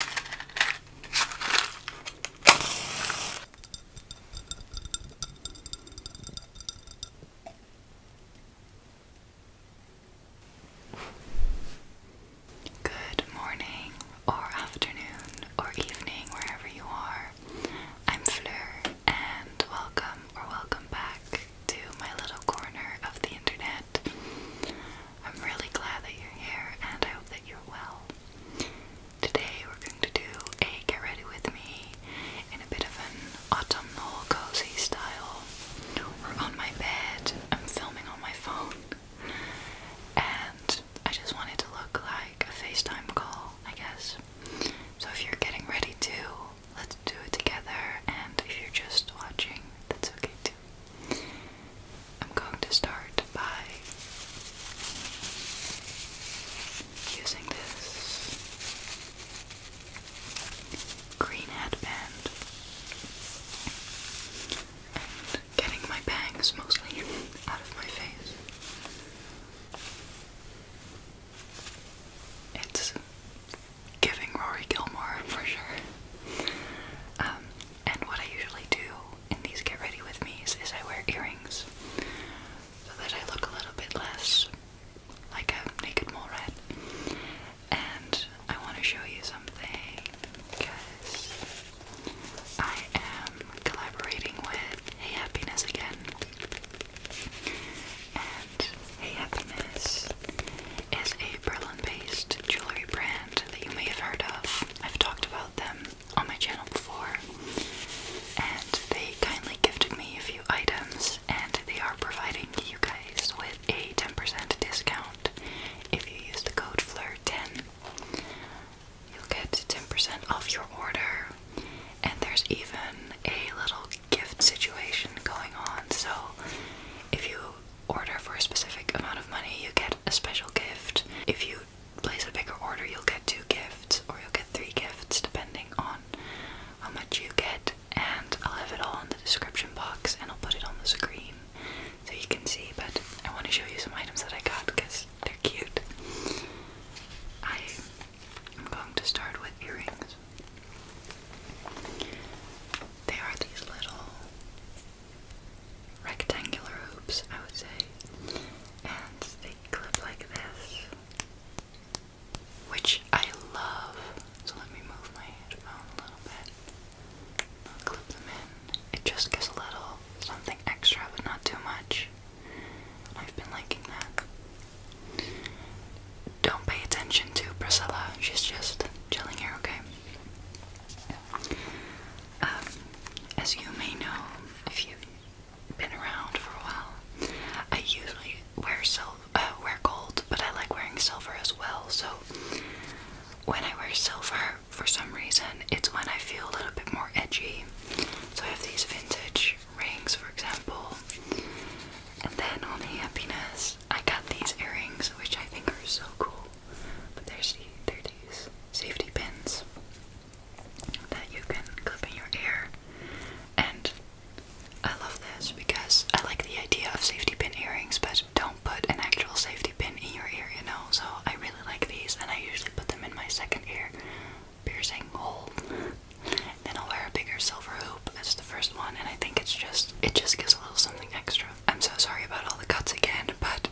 Good morning, or afternoon, or evening, wherever you are. I'm Fleur, and welcome or welcome back to my little corner of the internet. I'm really glad that you're here and I hope that you're well. Today we're going to do a get ready with me in a bit of an autumnal cozy style. We're on my bed, I'm filming on my phone, and I just wanted to look like a FaceTime call, I guess. So if you're getting ready to, let's do it together, and if you're just watching, that's okay too. I'm going to start by using this green headband and getting my bangs mostly out of my face. It's giving Rory Gilmore for sure. Um, and what I usually do in these get ready with me's is I wear earrings so that I look a little bit less like a naked mole rat. And I want to show you something because I am collaborating with Hey Happiness again. And Hey Happiness is a Berlin-based jewelry brand that you may have heard of. I've talked about them on my channel before, and they kindly gifted me a few items, and they are providing you guys with a 10% discount if you use the code FLIR10. You'll get 10% off your order, and there's even a little gift situation going on. So, if you order for a specific amount of money, you get a special gift. If you place a bigger order, you'll get two gifts, or you'll get three gifts, depending on how much you get. And I'll have it all in the description box and I'll put it on the screen so you can see. But I want to show you some items that I got because they're cute. I am going to start with earrings. They are these little rectangular hoops, I would say, and they clip like this, which I love. So let me move my headphone a little bit. clip them in. It just gives a little something extra, but not too much. I've been liking that. Don't pay attention to Priscilla. She's just chilling here, okay? Um, as you may know, if you've been around for a while, I usually wear silver, uh, wear gold, but I like wearing silver as well. So when I wear silver, for some reason, it's when I feel a little bit more edgy. So I have these vintage rings, for example, and then on happiness, I got these earrings, which I think are so cool. But there's they're these safety pins that you can clip in your ear. And I love this because I like the idea of safety pin earrings, but don't put an actual safety pin in your ear, you know? So I really like these, and I usually put them in my second ear piercing hole. Then I'll wear a bigger silver hoop. That's the first one, and I think it's just it just gives a little something extra. I'm so sorry about all the cuts again, but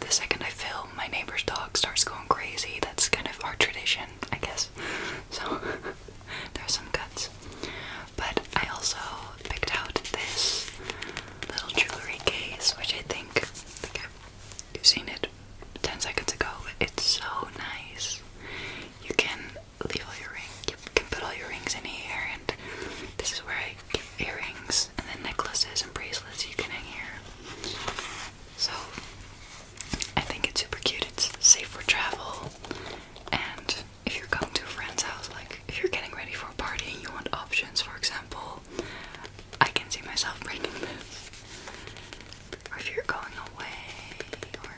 the second I film, my neighbor's dog starts going crazy. That's kind of our tradition, I guess. So there are some cuts. But I also picked out this little jewelry case, which I think, you've seen it 10 seconds ago. It's so nice. You can leave all your rings. You can put all your rings in here, and this is where I keep earrings, and then necklaces and bracelets you can hang here. So I think it's super cute. It's safe for travel, and if you're going to a friend's house, like if you're getting ready for a party and you want options, for example, I can see myself breaking this. Or if you're going away, or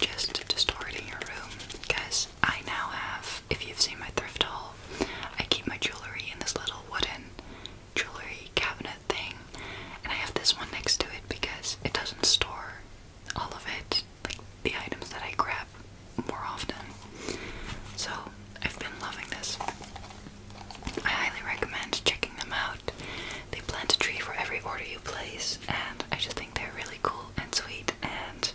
just to store it in your room because I now have, if you've seen my thrift haul, I keep my jewellery in this little wooden jewellery cabinet thing and I have this one next to it because it doesn't store all of it, like the items that I grab more often. So I've been loving this. I highly recommend checking them out. They plant a tree for every order you place, and I just think they're really cool and sweet. And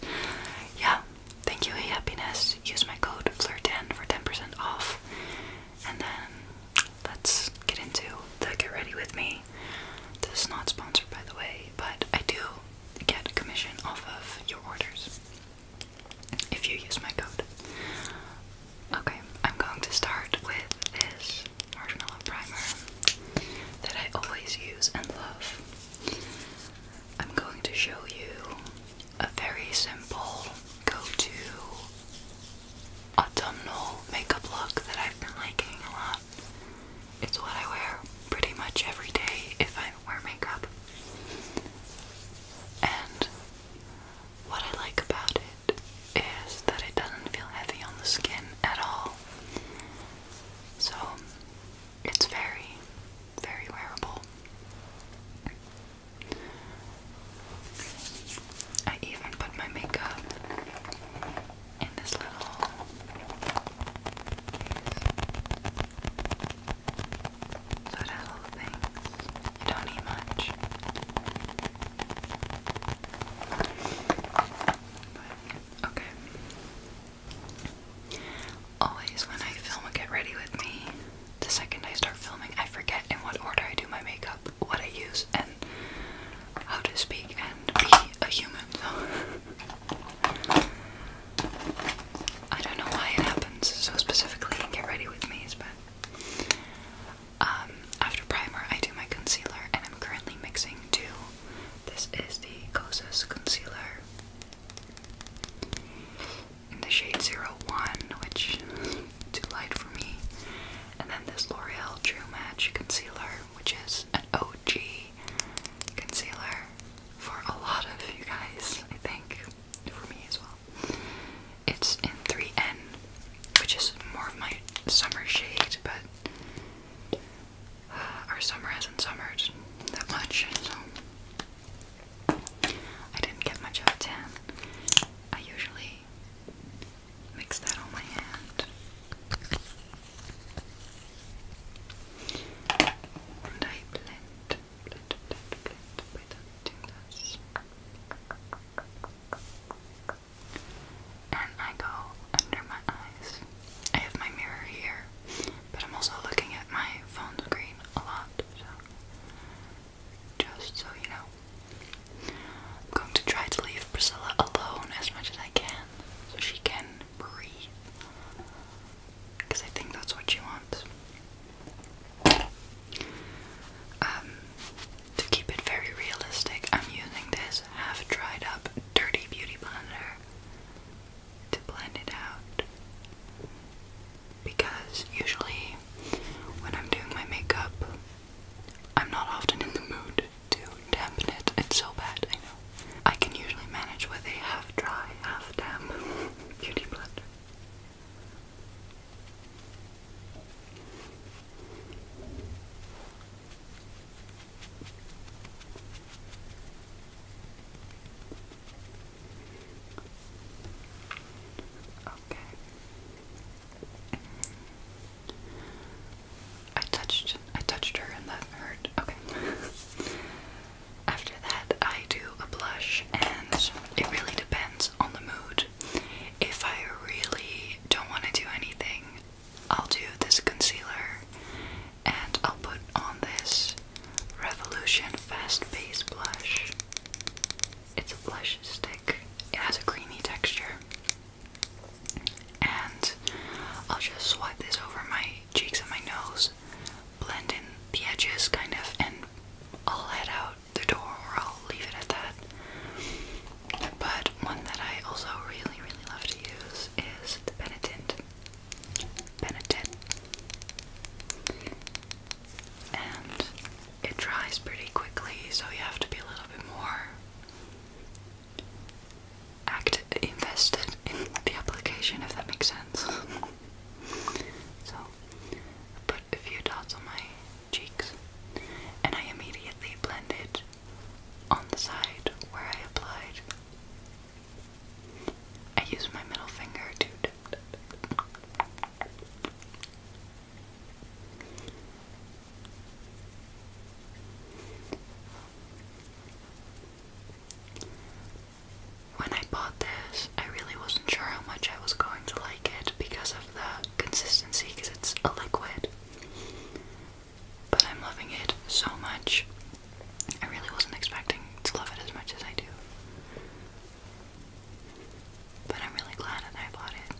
yeah, thank you, Happiness. Use my code FLIR10 for 10% off. And then let's get into the Get Ready With Me. This is not sponsored, by the way, but I do get commission off of your orders if you use my code. Okay, I'm going to start with this marshmallow primer that I always use and love. I'm going to show you a very simple go-to autumnal makeup look that I've been liking a lot. It's what I wear pretty much every day if I wear makeup. And what I like about it is that it doesn't feel heavy on the skin at all. So it's very, very wearable. I even put my makeup in this little case. So You don't need much. But, Okay. Always when I film get ready with me, the second I start filming, I forget in what order I do my makeup, what I use, and how to speak and be a human. So I don't know why it happens so specifically in get ready with me, but um, after primer, I do my concealer, and I'm currently mixing two this is the closest concealer in the shade 01, which is too light for me. And then this L'Oreal True Match Concealer, which is an OG concealer for a lot of you guys, I think. For me as well. It's in 3N, which is more of my summer shade, but Our summer hasn't summered that much, so I didn't get much of a tan. I usually mix that on my hand. And I blend, and I go under my eyes. I have my mirror here, but I'm also looking at my phone screen a lot, so just so you know. I'm going to try to leave Priscilla alone as much as I can so she can breathe. Because I think that's what she wants. Um, to keep it very realistic, I'm using this half dried up dirty beauty blender to blend it out. Because usually when I'm doing my makeup, I'm not often in the mood to dampen it. It's so bad, I know. I can usually manage with a half dry, half damp beauty blender. Okay. I touched I touched her and that hurt. Okay. After that I do a blush and it really depends on the mood. If I really don't want to do anything, I'll do this concealer and I'll put on this Revolution Fast Base blush. It's a blush stick, it has a creamy texture. And I'll just swipe this over my cheeks and my nose, blend in the edges kind of, and I'll head out the door or I'll leave it at that. But one that I also really, really love to use is the Benetint. Benetint. And it dries pretty quickly, so you have to be a little bit more act invested in the application, if that makes sense. so, put a few dots on my cheeks, and I immediately blended on the side where I applied. I use my middle finger to when I bought this, I really wasn't sure how much I was going to like it because of the consistency, because it's a liquid. But I'm loving it so much. I really wasn't expecting to love it as much as I do. But I'm really glad that I bought it.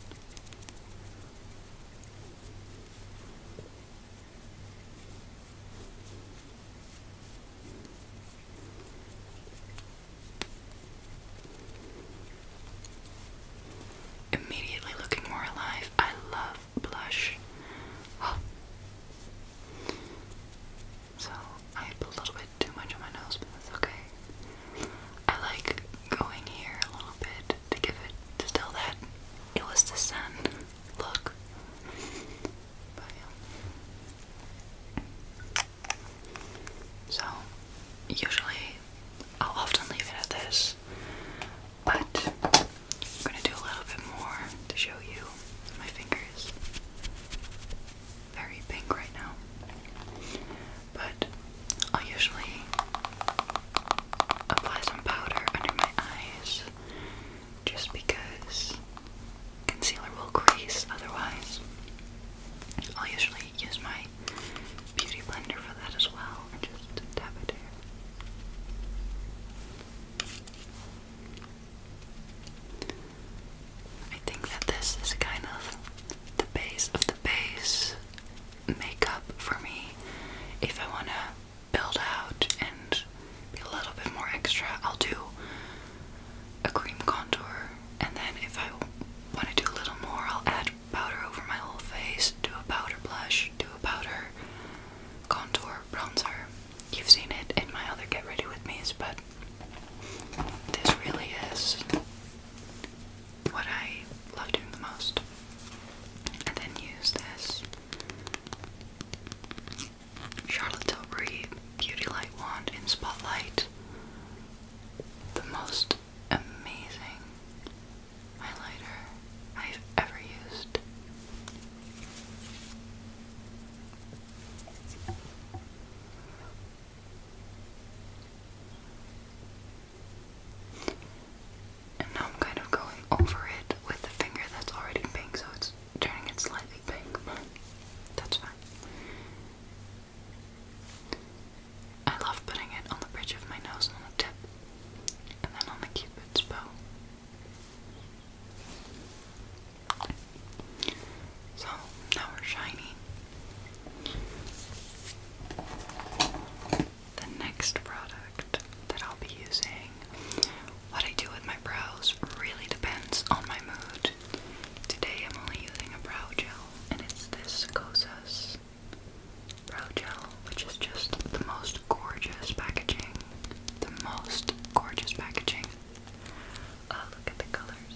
Immediately looking more alive. I love blush. Oh. So I have a little bit too much on my nose, but that's okay. I like going here a little bit to give it to tell that it was the sun look. So usually I'll often leave it at this, but I'm gonna do a little bit more to show you my fingers. Very pink right now, but i usually apply some powder under my eyes just because concealer will crease otherwise. I'll usually use my beauty blender for that as well just tap it in. I think that this is kind of the base of the base makeup for me. If I want to build out and be a little bit more extra, I'll do a cream contour, and then if I want to do a little more, I'll add powder over my whole face, do a powder blush, do a powder contour bronzer. You've seen it in my other Get Ready With Me's, but this really is what I love doing the most. And then use this Charlotte Tilbury Beauty Light Wand in Spotlight. The most amazing highlighter I've ever used. And now I'm kind of going over it with the finger that's already pink, so it's turning it slightly pink, that's fine. I love putting it on the bridge of my nose on the tip, and then on the cupid's bow. So now we're shiny. The next product that I'll be using, what I do with my brows really depends on my mood Today I'm only using a brow gel, and it's this Kosas brow gel, which is just the most gorgeous packaging. The most gorgeous packaging. Uh, look at the colors.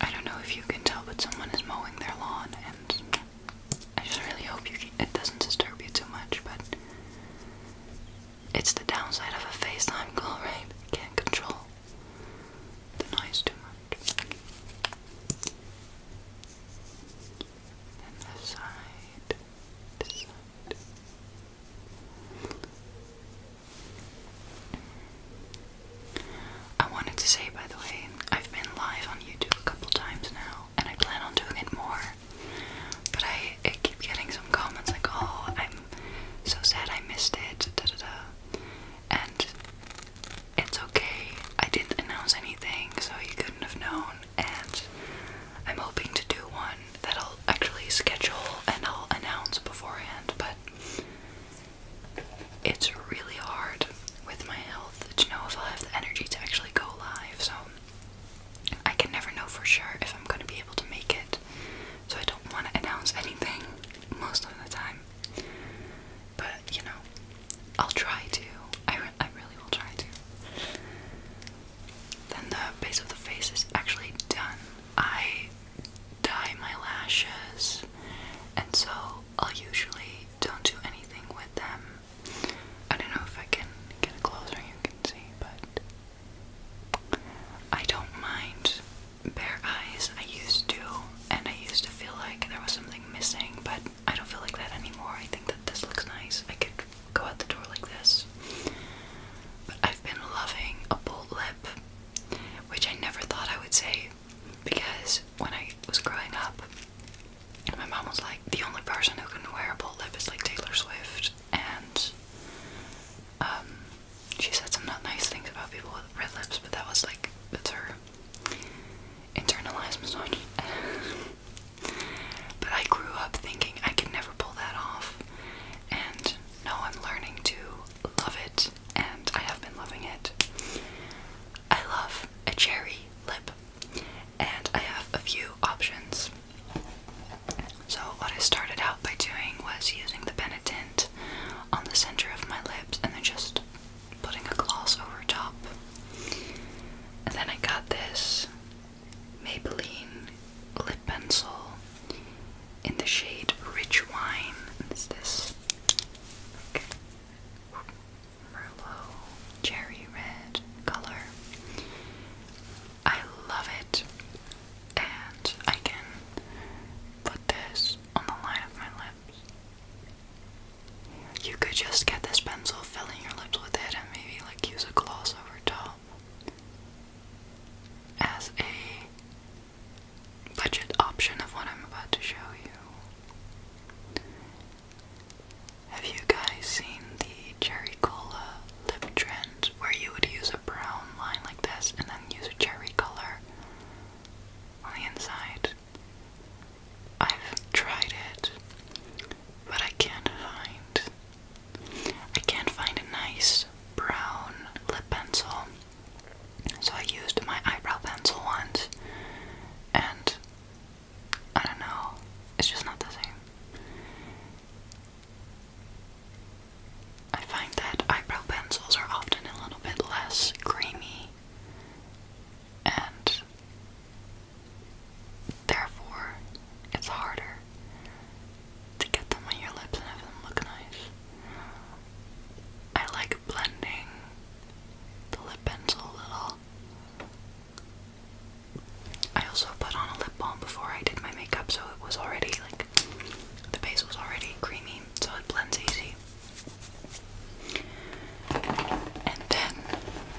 I don't know if you can tell, but someone is mowing their lawn, and I just really hope you it doesn't disturb you too much. But it's the downside of a FaceTime call, right? Can't control the noise too much. Then side, this side. I wanted to say, by the way, I've been live on YouTube a couple times now, and I plan on doing it more. But I, keep getting some comments like, oh, I'm so sad I missed it, da da da. And it's okay, I didn't announce anything, so you couldn't have known. And I'm hoping to do one that I'll actually schedule and I'll announce beforehand, but it's really hard with my health to know if i have the energy to actually go live, so I can never know for sure if I'm going to be able to make it, so I don't want to announce anything most of the time. But you know, I'll try to. I, I really will try to. Then the base of the face is actually done. I dye my lashes, and so i usually don't do anything with them. I don't know if I can get it closer, you can see, but I don't mind bare eyes. I used to, and I used to feel like there was something missing, but I don't feel like that anymore. I think that this looks nice. I could go out the door like this. But I've been loving a bold lip, which I never thought I would say because when I was growing up, my mom was like, the only person who could wear a bold lip is like Taylor Swift and um, she said some not nice things about people with red lips, but that was like, that's her internalized misogyny. but I grew up thinking I could never pull that off, and now I'm learning to love it, and I have been loving it. I love a cherry lip and I have a few options. So, what I started out by doing was using the Benetint on the center of my lips and then just putting a gloss over top. And then I got this Maybelline lip pencil in the shade Rich Wine. It's this like, Merlot cherry red color. I love it, and I can put this on the line of my lips. You could just get this pencil, filling your lips with it, and maybe like use a gloss over top as a budget option of what I'm about to show you. Have you guys seen the cherry cola lip trend where you would use a brown line like this and then use a cherry color on the inside? I've tried it, but I can't find I can't find a nice brown lip pencil. So I used my eyebrow pencil once and I don't know. It's just not the same. I find that eyebrow pencils are often a little bit less creamy and therefore it's harder to get them on your lips and have them look nice. I like blending the lip pencil a little I also put on a lip balm before I did my makeup, so it was already like the base was already creamy, so it blends easy. And then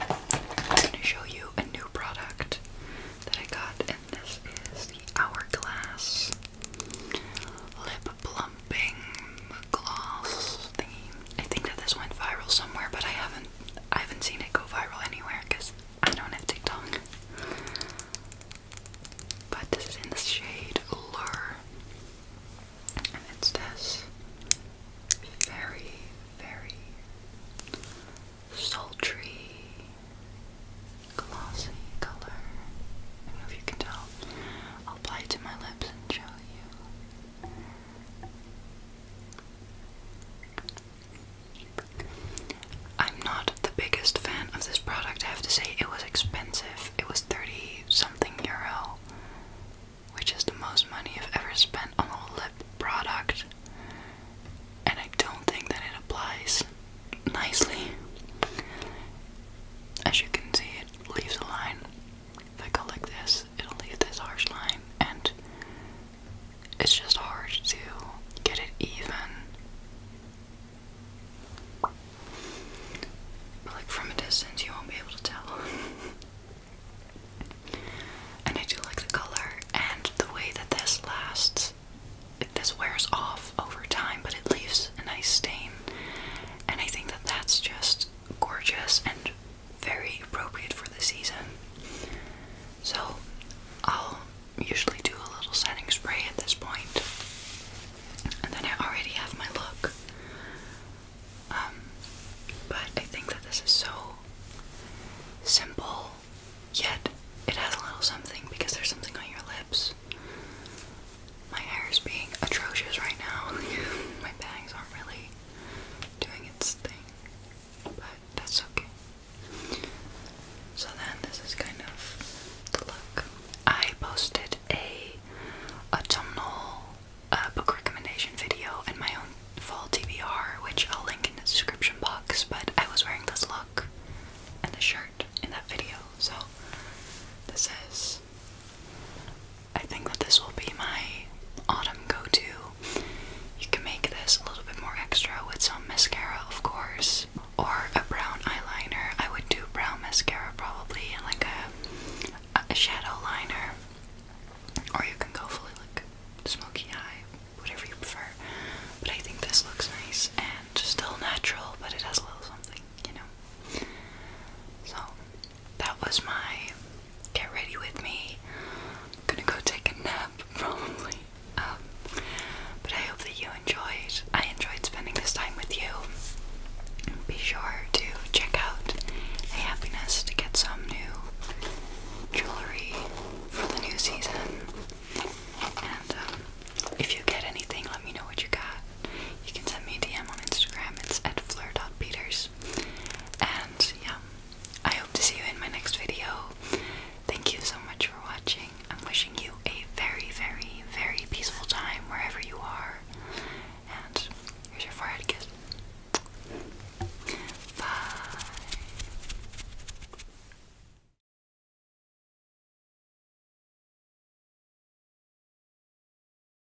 I'm gonna show you a new product that I got, and this is the Hourglass Lip Plumping Gloss I think that this went viral somewhere, but I haven't I haven't seen it go viral anywhere because I don't have TikTok. But this is in the shade Lure. And it's this very, very sultry, glossy color. I don't know if you can tell. I'll apply it to my lips and show you. I'm not the biggest fan of this product, I have to say. It was expensive. It was 30 something euro, which is the most money I've ever spent on a lip product. And I don't think that it applies nicely. As you can see, it leaves a line. If I go like this, it'll leave this harsh line, and it's just hard to get it even. But like from a distance, you won't be able to tell. and I do like the color and the way that this lasts. It, this wears off over time, but it leaves a nice stain, and I think that that's just gorgeous and very appropriate for the season. So I'll usually do a little setting spray at this point, and then I already have my look. Um, but I think that this is so simple, yet it has a little something because there's something on your lips. My hair is being atrocious right now. my bangs aren't really doing its thing, but that's okay. So then this is kind of the look. I posted a autumnal uh, book recommendation video and my own fall TBR, which I'll link in the description box, but I was wearing this look and the shirt in that video, so this is I think that this will be my autumn go-to. You can make this a little bit more extra with some mascara, of course, or a brown eyeliner. I would do brown mascara probably, and like a, a shadow liner, or you can go fully like smoky eye, whatever you prefer. But I think this looks nice and still natural, but it has a little something, you know. So that was my get ready with me. I'm gonna go take a nap probably. Um, but I hope that you enjoyed. I enjoyed spending this time with you. Be sure to check out A Happiness to get some new jewelry for the new season. And um, if you get anything, let me know what you got. You can send me a DM on Instagram. It's at dot peters. And yeah, I hope to see you in my next video. Thank you so much for watching. I'm wishing you a very, very, very peaceful time wherever you are. And here's your forehead kiss. Bye.